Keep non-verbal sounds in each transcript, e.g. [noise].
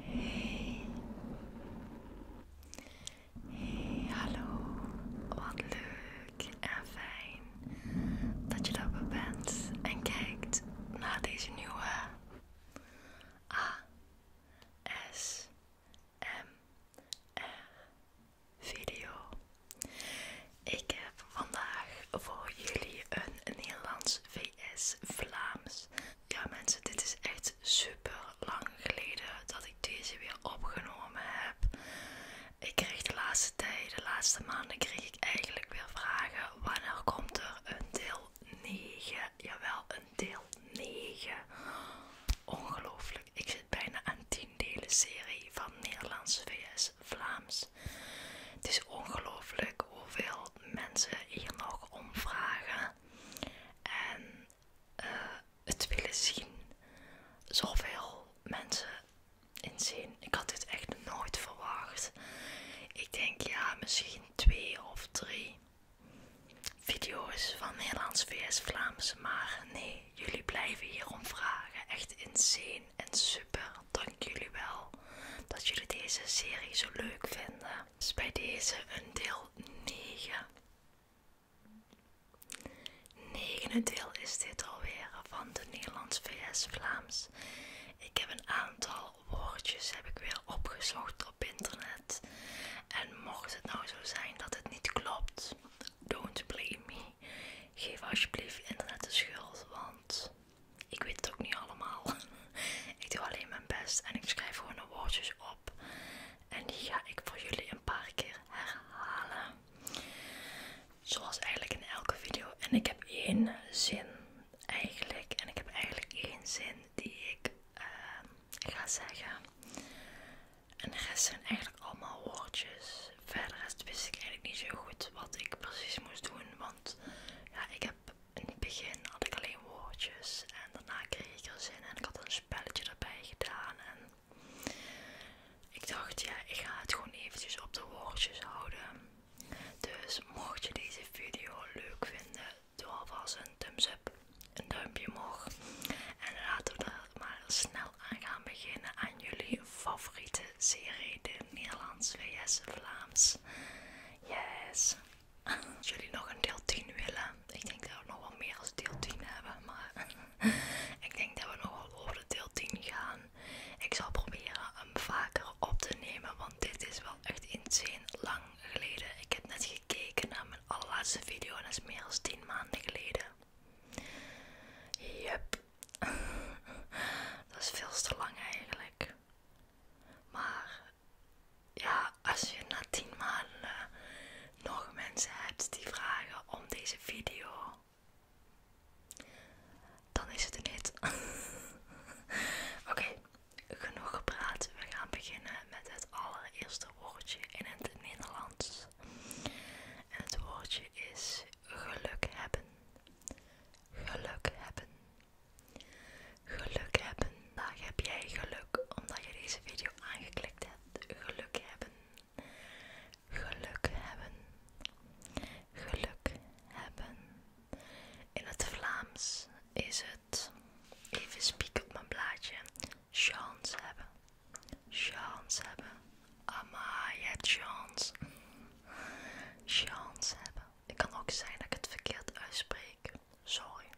Hey. Hey, hallo. Wat leuk en fijn dat je daarbij bent en kijkt naar deze nieuwe ASMR video. Ik heb vandaag voor jullie een Nederlands vs Vlaams. Ja mensen, dit is echt super lang geleden dat ik deze weer opgenomen heb. Ik kreeg de laatste tijd, de laatste maanden kreeg ik eigenlijk weer vragen. Wanneer komt er een deel 9? Jawel, een deel 9. Ongelooflijk. Ik zit bijna aan 10 delen serie van Nederlands VS Vlaams. Het is ongelooflijk hoeveel mensen hier nog omvragen en eh, het willen zien. Zoveel mensen inzien. Ik had dit echt nooit verwacht. Ik denk ja, misschien twee of drie video's van Nederlands, VS, Vlaams. Maar nee, jullie blijven hier omvragen. Echt insane en super. Dank jullie wel dat jullie deze serie zo leuk vinden. Is bij deze een deel 9. 9 deel is dit alweer van de Nederlands VS Vlaams. Ik heb een aantal woordjes heb ik weer opgezocht op internet. En mocht het nou zo zijn dat het niet klopt, don't blame me. Geef alsjeblieft internet de schuld, want ik weet het ook niet allemaal. [laughs] ik doe alleen mijn best en ik schrijf gewoon een woordjes op. En die ga ik voor jullie een paar keer herhalen. Zoals eigenlijk in elke video. En ik heb één zin eigenlijk. En ik heb eigenlijk één zin die ik eh, ga zeggen. En de rest zijn eigenlijk allemaal woordjes verder wist ik eigenlijk niet zo goed wat ik precies moest doen. Want ja, ik heb in het begin had ik alleen woordjes en daarna kreeg ik er zin en ik had een spelletje erbij gedaan. En ik dacht, ja, ik ga het gewoon eventjes op de woordjes houden. Dus mocht je deze video leuk vinden, doe alvast een thumbs up, een duimpje omhoog. En laten we maar snel aan gaan beginnen aan jullie favoriete serie, de Nederlands VS Vlaams. Yes! Als jullie nog een deel 10 willen, ik denk dat we nog wel meer als deel 10 hebben, maar [laughs] ik denk dat we nog wel over de deel 10 gaan. Ik zal proberen hem vaker op te nemen, want dit is wel echt insane lang geleden. Ik heb net gekeken naar mijn allerlaatste video en dat is meer dan 10 maanden geleden. Yep. [laughs] dat is veel te lang eigenlijk. Maar ja, als je na 10 maanden eh, nog mensen hebt die vragen om deze video, dan is het er niet. [laughs] Oké, genoeg gepraat. We gaan beginnen met het allereerste woordje in het Nederlands. En het woordje is geluk hebben. Geluk hebben. Geluk hebben. Vandaag heb jij geluk omdat je deze video aangeklikt hebt. Geluk hebben. Geluk hebben. Geluk hebben. In het Vlaams is het, even spieken op mijn blaadje, chance hebben. Chance hebben. Ama, je hebt chance. Chance hebben. Ik kan ook zijn dat ik het verkeerd uitspreek. Sorry.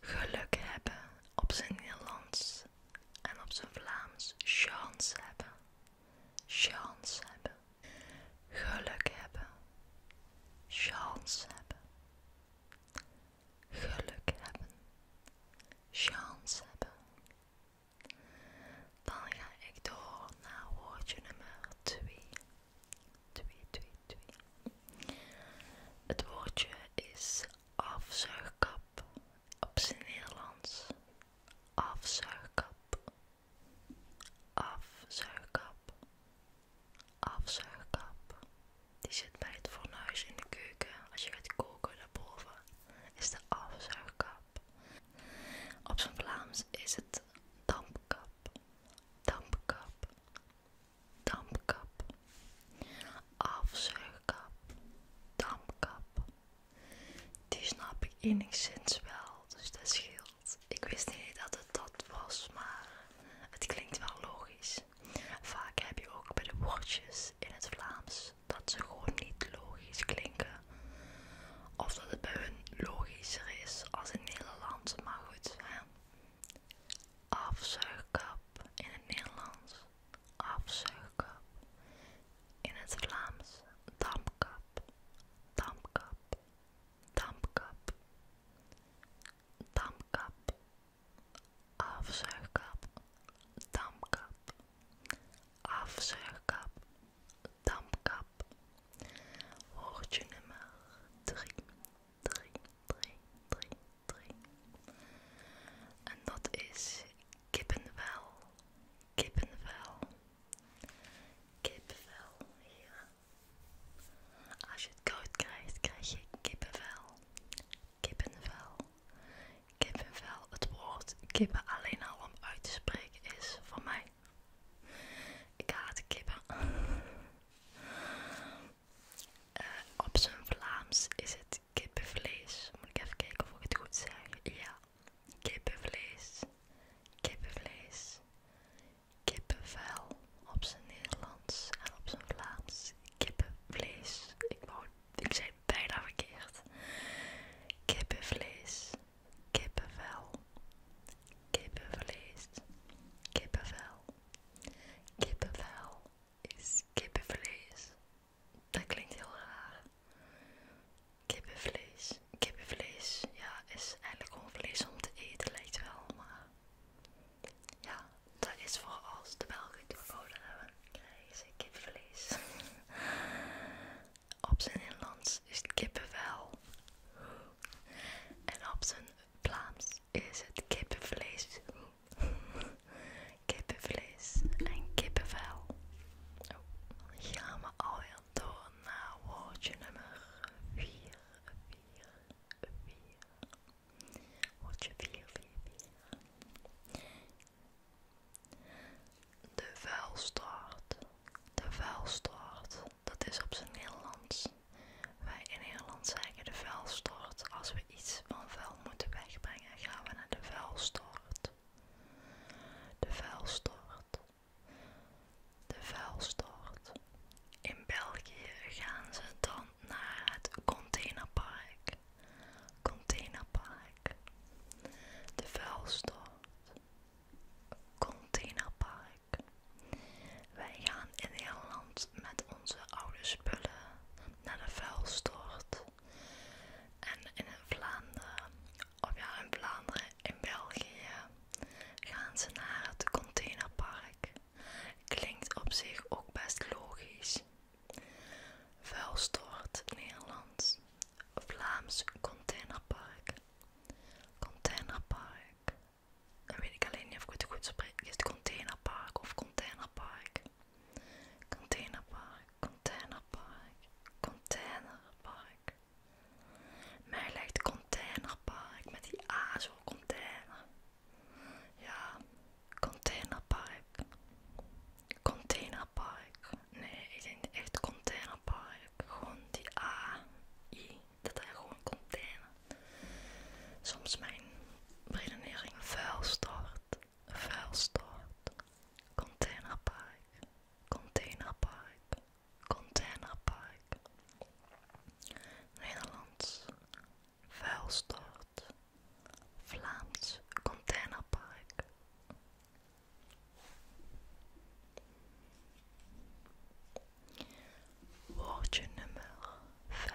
Geluk hebben op zijn Nederlands en op zijn Vlaams. Chance hebben. Chance hebben. Geluk hebben. Chance hebben geluk hebben, chance hebben. Dan ga ik door naar woordje nummer 2. 2, 2, 2. Het woordje is afzuigkap op zijn Nederlands. Afzuigkap. Afzuigkap. Afzuigkap. Die zit bij het fornuis in de keuken. Als je gaat koken daarboven is de afzuigkap. Op zijn Vlaams is het dampkap. Dampkap. Dampkap. Afzuigkap. Dampkap. Die snap ik enigszins wel, dus dat scheelt. Ik wist niet dat het dat was, maar het klinkt wel logisch. Vaak heb je ook bij de woordjes in het Vlaams dat ze gewoon niet logisch klinken. Of dat het bij hun logischer is als in Nederland, maar goed. Afzuigkap in het Nederlands, afzuigkap in het Vlaams, Damkap. Damkap. Damkap. Damkap afzuigkap, dampkap, afzuigkap, dampkap. Woordje nummer 3, 3, 3, 3, 3. En dat is kippenvel, kippenvel, kippenvel, hier. Als je het koud krijgt, krijg je kippenvel kippenvel. Kippenvel, het woord kippen alleen al om uit te spreken is voor mij. Ik haat kippen. Eh, op zijn Vlaams is het kippenvlees. Moet ik even kijken of ik het goed zeg. Ja, kippenvlees. Kippenvlees. Kippenvel op zijn Nederlands en op zijn Vlaams. Kippenvlees. Ik wou ik zei bijna verkeerd. Kippenvlees, kippenvel, kippenvlees, kippenvel. Kippenvel is kippenvlees. Dat klinkt heel raar. Kippenvlees, kippenvlees, ja, is eigenlijk gewoon vlees om te eten, lijkt wel, maar ja, dat is voor als de welke het verboden hebben, krijgen ze kipverlees. [laughs] op zijn Nederlands is het kippenvel. En op zijn Vlaams is het kippenvlees. [laughs] kippenvlees en kippenvel. Oh, dan gaan we alweer door naar woordje nummer 4. 4, 4. Hoort je vier, De vuilstort. De vuilstort. Dat is op zijn Nederlands. Wij in Nederland zeggen de vuilstort. Als we iets van vuil moeten wegbrengen, gaan we naar de vuilstort. De vuilstort. De vuilstort. In België gaan ze dan naar het containerpark. Containerpark. De vuilstort. Containerpark. Wij gaan in Nederland met onze oude spullen naar de vuilstort. En in Vlaanderen, of ja, in Vlaanderen, in België, gaan ze naar het containerpark. Klinkt op zich ook best logisch. Vuilstort Nederlands. Vlaams containerpark. Containerpark. Dan weet ik alleen niet of ik het goed spreek. Is het containerpark of containerpark? Containerpark, containerpark, containerpark. Mij lijkt containerpark met die A container. Ja, containerpark. Containerpark. Nee, ik denk echt containerpark. Gewoon die A, I. Dat zijn gewoon container. Soms mijn redenering vuilstort. Vuilstort. Containerpark. Containerpark. Containerpark. Nederlands. Vuilstort, Vlaams Containerpark. Woordje nummer 5.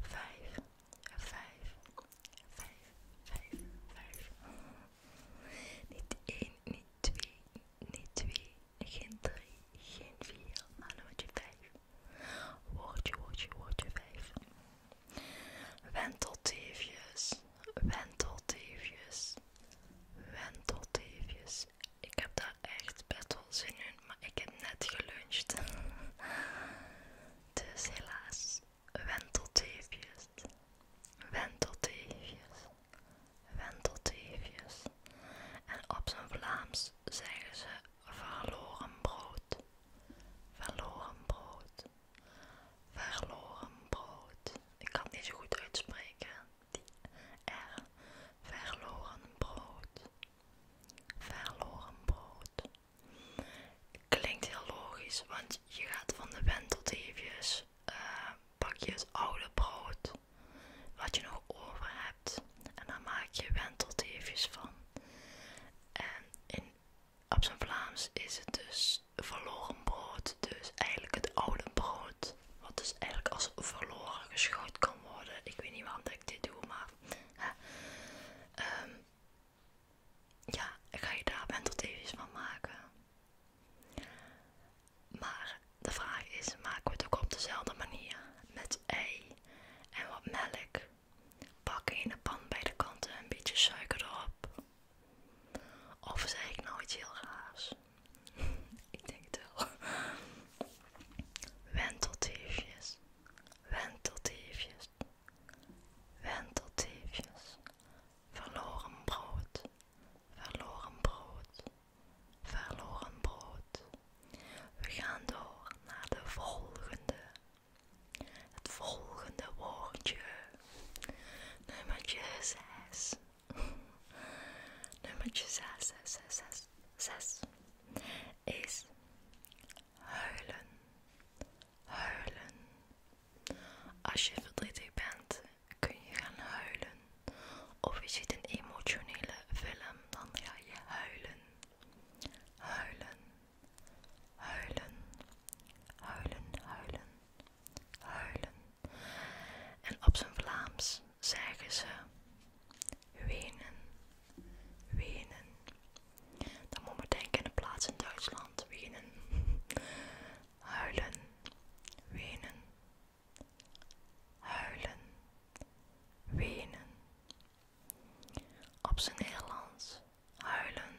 5, 5, 5, 5, Niet 1, niet 2, niet 2, geen 3, geen 4, maar nummertje 5. Woordje, woordje, woordje 5. Wentelteefjes, wentelteefjes, wentelteefjes. Ik heb daar echt best wel zin in, maar ik heb net geluncht. Dus helaas, wentelteefjes, wentelteefjes, wentelteefjes, en op zijn Vlaams zeggen ze verloren brood. Verloren brood. Verloren brood. Ik kan het niet zo goed uitspreken. Die R. Verloren brood. Verloren brood. Klinkt heel logisch, want je gaat van de wend tot eventjes. pak eh, je het oude brood wat je nog over hebt. En daar maak je wentelteefjes van. En in, op zijn Vlaams is het dus verloren brood. Dus eigenlijk het oude brood. Wat dus eigenlijk als verloren geschoten kan worden. Ik weet niet waarom ik dit doe, maar... Ehm, ja ik ga je daar wentelteefjes van maken. Maar de vraag is, maken we het ook op dezelfde manier? Met ei en wat melk. pakken in de pan bij de kanten een beetje suiker erop. Of zeg ik nou iets heel raars? [laughs] ik denk het wel. [laughs] Wenteltiefjes, wenteltiefjes, wenteltiefjes, Verloren brood. Verloren brood verloren brood. We gaan door naar de volgende. Het volgende woordje. Nummertje 6. Nummertje 6, 6, 6, 6, 6 is huilen. Huilen. Als je verdrietig bent, kun je gaan huilen. Of je ziet een emotionele film, dan ga je huilen. Huilen. Huilen. Huilen, huilen. Huilen. En op zijn Vlaams zeggen ze wenen. Wenen. Dan moet je denken aan de plaats in Duitsland. Wenen. [laughs] Huilen. Wenen. Huilen, wenen. Op zijn Nederlands huilen.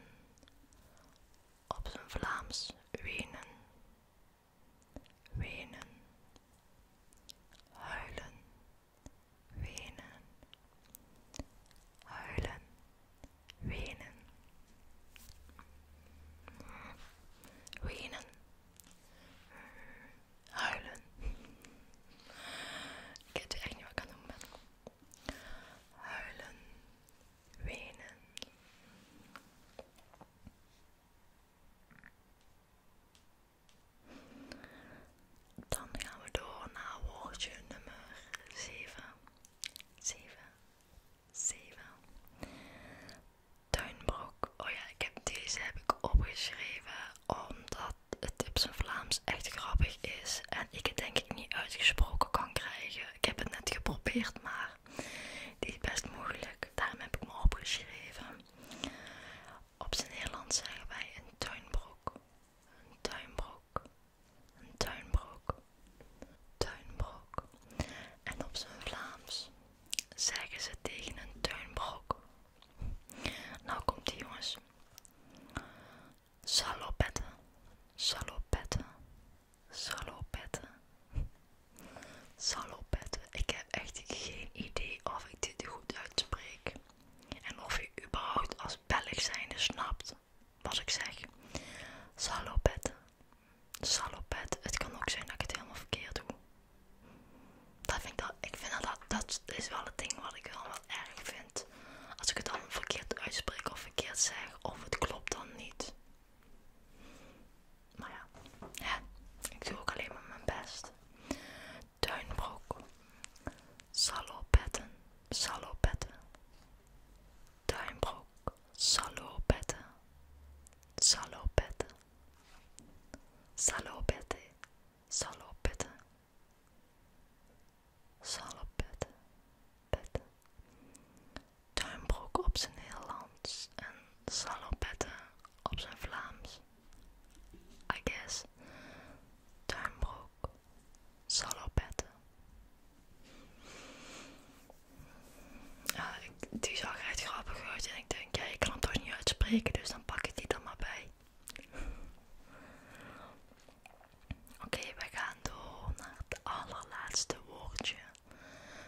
Op zijn Vlaams wenen. Wenen. Huilen. Wenen. Huilen. Wenen. Wenen huilen. Ik weet echt niet wat ik kan doen Huilen, wenen. Dan gaan we door naar woordje nummer zeven, zeven, zeven tuinbroek. Oh ja, deze heb ik opgeschreven omdat het op zijn Vlaams echt grappig is en ik het denk ik niet uitgesproken kan krijgen. Ik heb het net geprobeerd, maar die is best moeilijk. Daarom heb ik me opgeschreven. Op zijn Nederlands zeggen wij een tuinbroek. Een tuinbroek. Een tuinbroek. Tuinbroek. En op zijn Vlaams zeggen ze tegen een tuinbrok. Nou komt die jongens. Salopetten, salopetten, salopetten, salopetten. Ik heb echt geen idee of ik dit goed uitspreek. En of je überhaupt als Belg zijnde snapt wat ik zeg. Salopetten, salopetten. Het kan ook zijn dat ik het helemaal verkeerd doe. Dat vind ik, dat, ik vind dat, dat, is wel het ding wat ik wel, wel erg vind. Als ik het dan verkeerd uitspreek of verkeerd zeg, of het klopt dan niet. Maar ja, ik doe ook alleen maar mijn best. Tuinbroek, salopetten, salopetten, tuinbroek, salopetten, salopetten, Salopete, salopete, salopete, pete. Tuinbroek op zijn Nederlands en salopette op zijn Vlaams. I guess. Tuinbroek, salopette. die zag echt grappig uit en ik denk, ja, ik kan het toch niet uitspreken, dus dan pak ik die dan maar bij. Oké, we gaan door naar het allerlaatste woordje.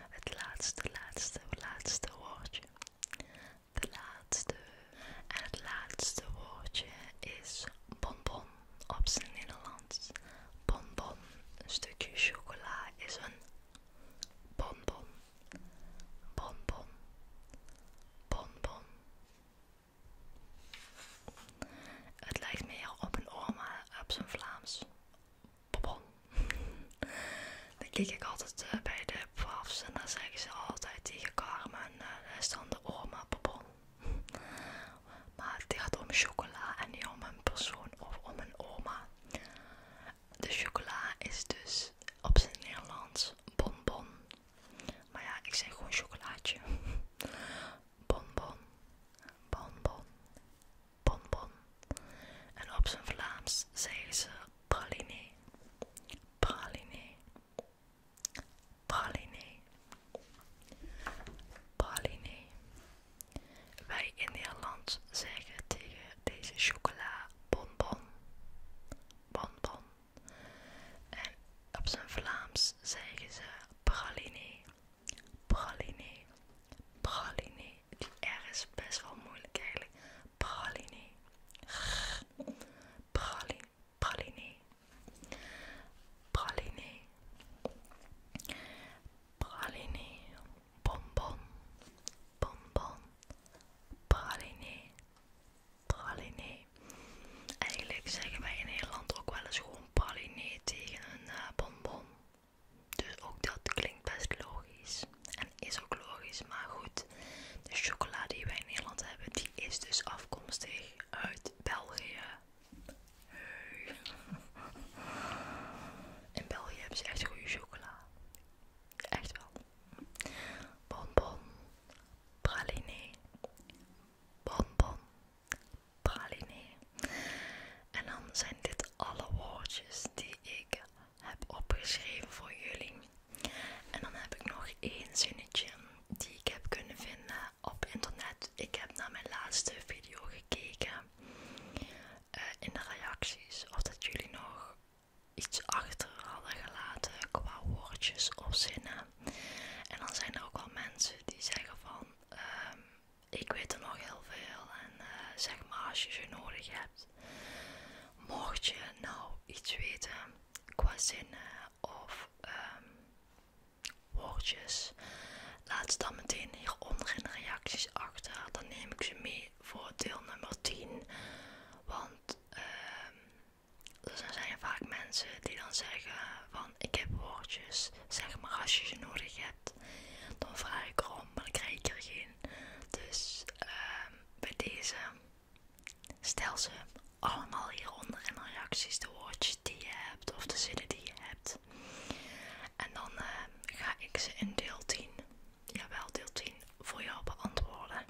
Het laatste, laatste, laatste woordje. De laatste. En het laatste woordje is bonbon op zijn Nederlands. Bonbon. Een stukje chocola is een bonbon bon bon. Het lijkt meer op een oma op zijn Vlaams. Bonbon. [laughs] Dan kijk ik altijd eh, bij de pafs en dan zeggen ze altijd tegen Carmen, daar uh, eh, dan de oma bonbon. [laughs] maar het gaat om chocola en niet om een persoon of om een oma de chocola is dus op zijn Nederlands bonbon. Maar ja, ik zeg gewoon chocolaatje. [laughs] Bonbon, bonbon, bonbon. En op zijn Vlaams zeggen ze pralinee, pralinee, praline, praline. Wij in Nederland zeggen tegen deze chocola bonbon. Bonbon. En op zijn Vlaams zeggen ze pralinee, pralinee, pralinee. Die R is best wel moeilijk eigenlijk. Pralinee, pralinee, pralinee, pralinee, bonbon, bonbon, pralinee, pralinee. Eigenlijk zeggen wij in Nederland ook wel eens gewoon pralinee tegen een bonbon. Eh, dus ook dat klinkt best logisch. En is ook logisch, maar goed. De chocolade die wij in Nederland hebben, die is dus afkomstig uit België in België hebben ze echt goede chocola. Echt wel. Bonbon, praline, bonbon, praline. En dan zijn dit alle woordjes die ik heb opgeschreven voor jullie. En dan heb ik nog één zinnetje die ik heb kunnen vinden op internet. Ik heb naar mijn laatste video gekeken. Eh, in de reacties of dat jullie nog iets achter hadden gelaten qua woordjes of zinnen. En dan zijn er ook wel mensen die zeggen van ehm, ik weet er nog heel veel en eh, zeg maar als je ze nodig hebt. Mocht je nou iets weten qua zinnen of ehm, woordjes laat ze dan meteen hieronder in de reacties achter. Dan neem ik ze mee voor deel nummer 10. Want ehm, er zijn vaak mensen die dan zeggen van ik heb woordjes. Zeg maar als je ze nodig hebt. Dan vraag ik om, maar dan krijg ik er geen. Dus ehm, bij deze stel ze allemaal hieronder in de reacties de woordjes die je hebt of de zinnen die je hebt. En dan eh, ga ik ze in deel 10, jawel deel 10, voor jou beantwoorden.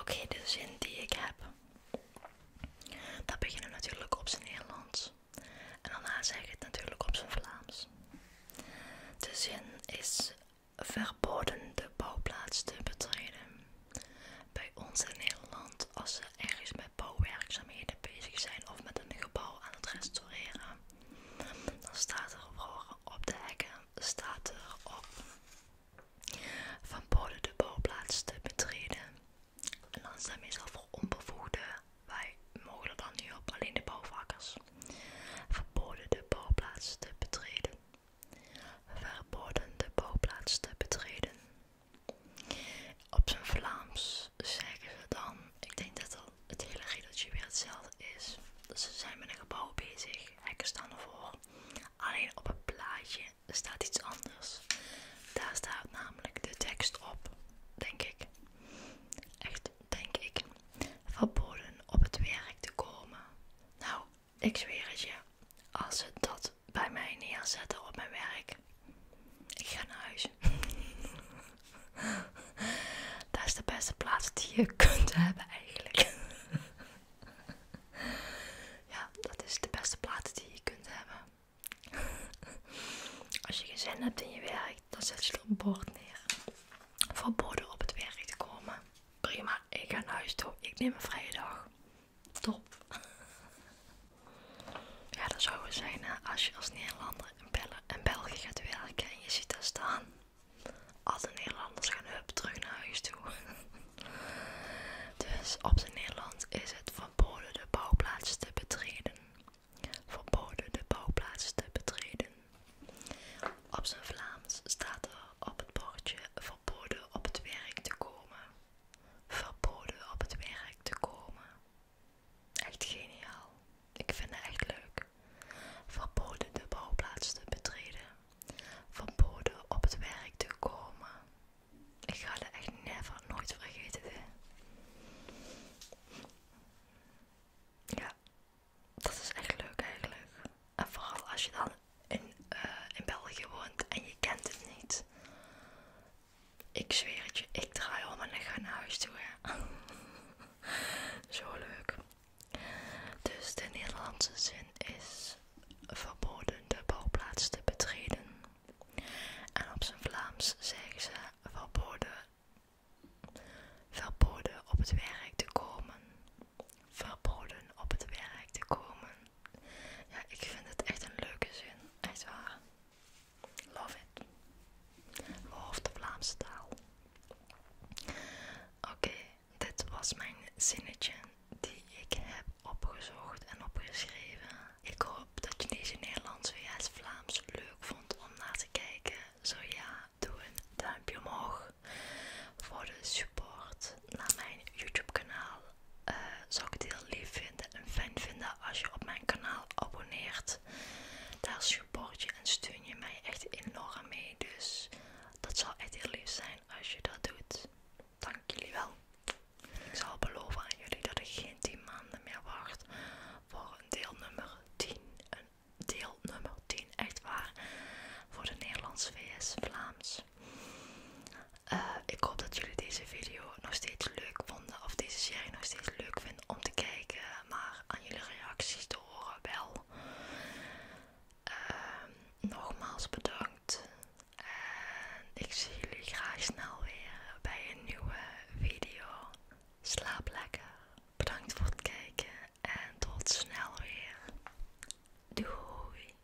Oké, de zin die ik heb. Dat beginnen natuurlijk op zijn Nederlands. En daarna zeg ik het natuurlijk op zijn Vlaams. De zin is verboden de bouwplaats te betreden. Bij ons in Nederland, als er ergens met bouwwerkzaamheden bezig zijn of met een gebouw aan het restaureren. Dan staat er op de hekken, staat er op van boden de bouwplaats te betreden. En dan zijn we meestal voor onbevoegden. Wij mogen dan nu op alleen de bouwvakkers. Verboden de bouwplaats te betreden. Verboden de bouwplaats te betreden. Op zijn Vlaams zeggen ze dan, ik denk dat het hele riedeltje weer hetzelfde is. Dus ze zijn met een gebouw bezig, hekken staan ervoor. Alleen op het plaatje staat iets anders. Daar staat namelijk de tekst op, denk ik. Echt, denk ik. Verboden op het werk te komen. Nou, ik zweer het je. Als ze dat bij mij neerzetten op mijn werk, ik ga naar huis. [laughs] dat is de beste plaats die je kunt hebben eigenlijk. [laughs] ja, dat is de beste plaats die je kunt hebben. [laughs] Als je geen hebt in je werk, dan zet je er een bord neer. Verboden op het werk te komen. Prima, ik ga naar huis toe. Ik neem een vrije dag. Top. Ja, dat zou zijn als je als Nederlander in, België gaat werken en je ziet daar staan. Alle Nederlanders gaan hup terug naar huis toe. [laughs] dus op zijn Nederlands is het verboden de bouwplaats te betreden. Verboden de bouwplaats te betreden. Op zijn Vlaams staat er op het bordje verboden op het werk te komen. Verboden op het werk te komen. Echt geniaal. Ik vind het echt leuk. Verboden de bouwplaats te betreden. Verboden op het werk te komen. Ik ga het echt never, nooit vergeten. Ja, dat is echt leuk eigenlijk. En vooral als je dan in eh, België woont en je kent het niet. Ik zweer het je, ik draai om en naar huis toe. [laughs] Zo leuk. Dus de Nederlandse zin is verboden de bouwplaats te betreden. En op zijn Vlaams zeggen ze verboden, verboden op het werk te komen. Verboden op het werk te komen. Ja, ik vind het echt een leuke zin. Echt waar. Love it. Love de Vlaamse taal. Oké, dit was mijn zinnetje die ik heb opgezocht en opgeschreven. Ik hoop dat je deze Nederlands het Vlaams leuk vond om naar te kijken. Zo ja, doe een duimpje omhoog voor de support naar mijn YouTube kanaal eh, zou ik het heel lief vinden en fijn vinden als je op mijn kanaal abonneert. Daar support je en steun je mij echt enorm mee. Dus dat zou echt heel lief zijn als je dat doet. Dank jullie wel. Ik zal beloven aan jullie dat ik geen 10 maanden meer wacht voor een deel nummer 10. Een deel nummer 10, echt waar. Voor de Nederlandse VS Vlaams. Eh, ik hoop dat jullie deze video nog steeds leuk vonden. Of deze serie nog steeds leuk vinden om te kijken. Maar aan jullie reacties te horen wel. Ehm, nogmaals bedankt. En ik zie jullie graag snel weer bij een nieuwe video. Slaap lekker. Bedankt voor het kijken. En tot snel weer. Doei.